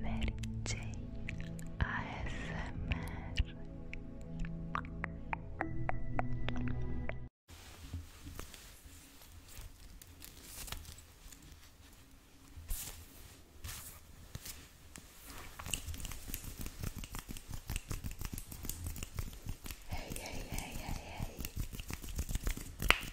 Mary Jane, ASMR. Hey, hey, hey, hey, hey.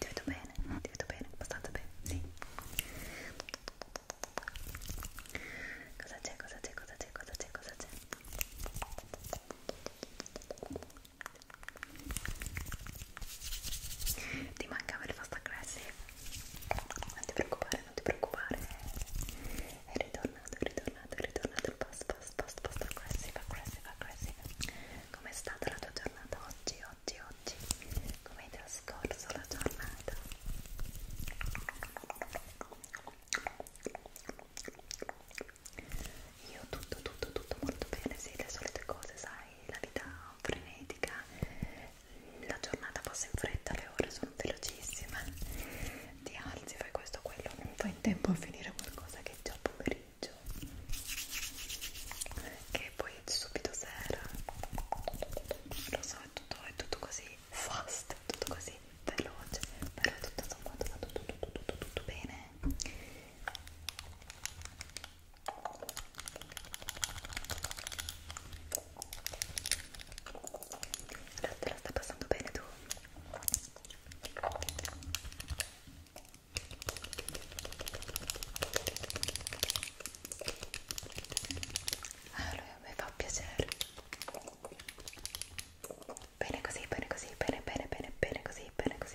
ti vedo bene, ti vedo bene, abbastanza bene, sì. Cosa c'è, cosa c'è, cosa c'è, cosa c'è, cosa c'è? Ti mancava il fast aggressive? Non ti preoccupare, non ti preoccupare. È ritornato, è ritornato, è ritornato il fast, fast, fast, fast aggressive, aggressive, aggressive. Com'è stata la tua giornata oggi? oggi, oggi come hai trascorso la giornata io tutto tutto tutto molto bene sì le solite cose sai la vita frenetica la giornata passa in fretta le ore sono velocissime ti alzi fai questo quello non fai in tempo a finire qualcosa che è già pomeriggio pomeriggio che poi subito sera lo so è tutto, è tutto così fast è tutto così veloce però tutto sommato va tutto, tutto, tutto, tutto bene la, te la stai passando bene tu? Allora, mi fa piacere. Bene così, bene così, bene, bene, bene, bene così, bene così.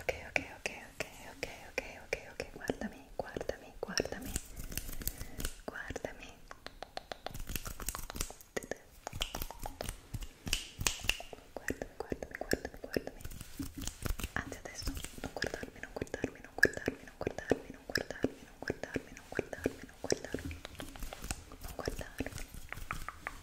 ok ok ok ok ok ok ok ok guardami guardami guardami guardami guardami guardami guardami guardami anzi adesso non guardarmi non guardarmi non guardarmi non guardarmi non guardarmi non guardarmi non guardarmi non guardarmi non guardarmi non guardarmi non guardarmi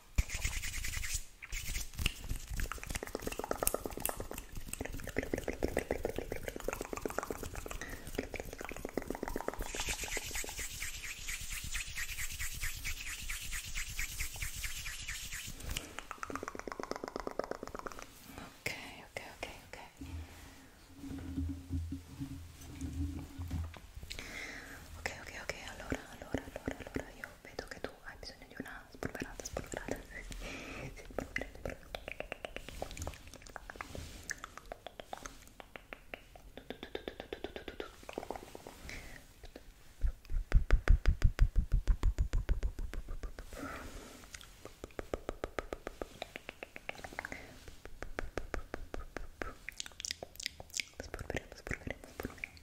Ok, ok, ok, ok. Ok, ok, ok, allora, allora, allora, allora io vedo che tu hai bisogno di una spolverata, spolverata. sì, spolverata, spolverata. Spolveremo, spolveremo, spolveremo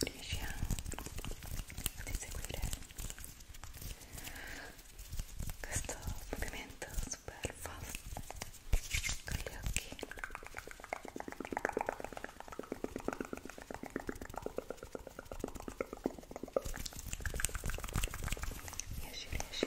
riesci a seguire questo movimento super fast con gli occhi riesci riesci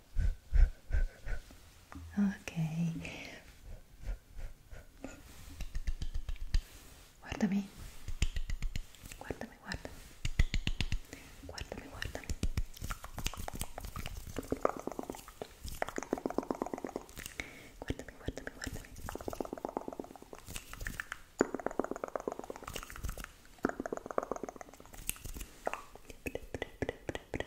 ok guardami guardami guardami guardami guardami guardami guardami guardami Pre, pre, pre, pre, pre,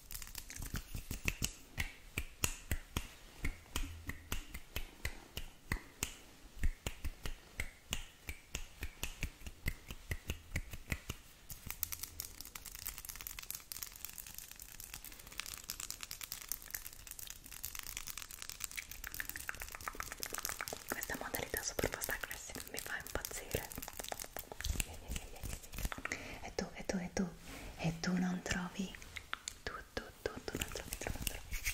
Questa modalità super pasta classica mi fa impazzire e tu, e tu, e tu, e tu non trovi, tu, tu, tu, tu non trovi, tu non trovi. Ecco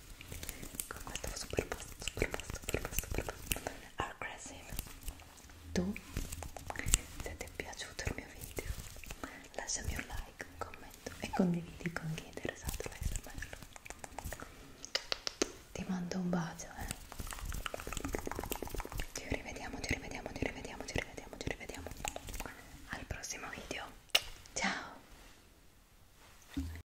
con questo super posto, super posto, super posto, super posto aggressive tu se ti è piaciuto il mio video lasciami un like, un commento e condividi con chi è interessato l'ASMR ti mando un bacio eh ci rivediamo, ci rivediamo, ci rivediamo, ci rivediamo, ci rivediamo al prossimo video ciao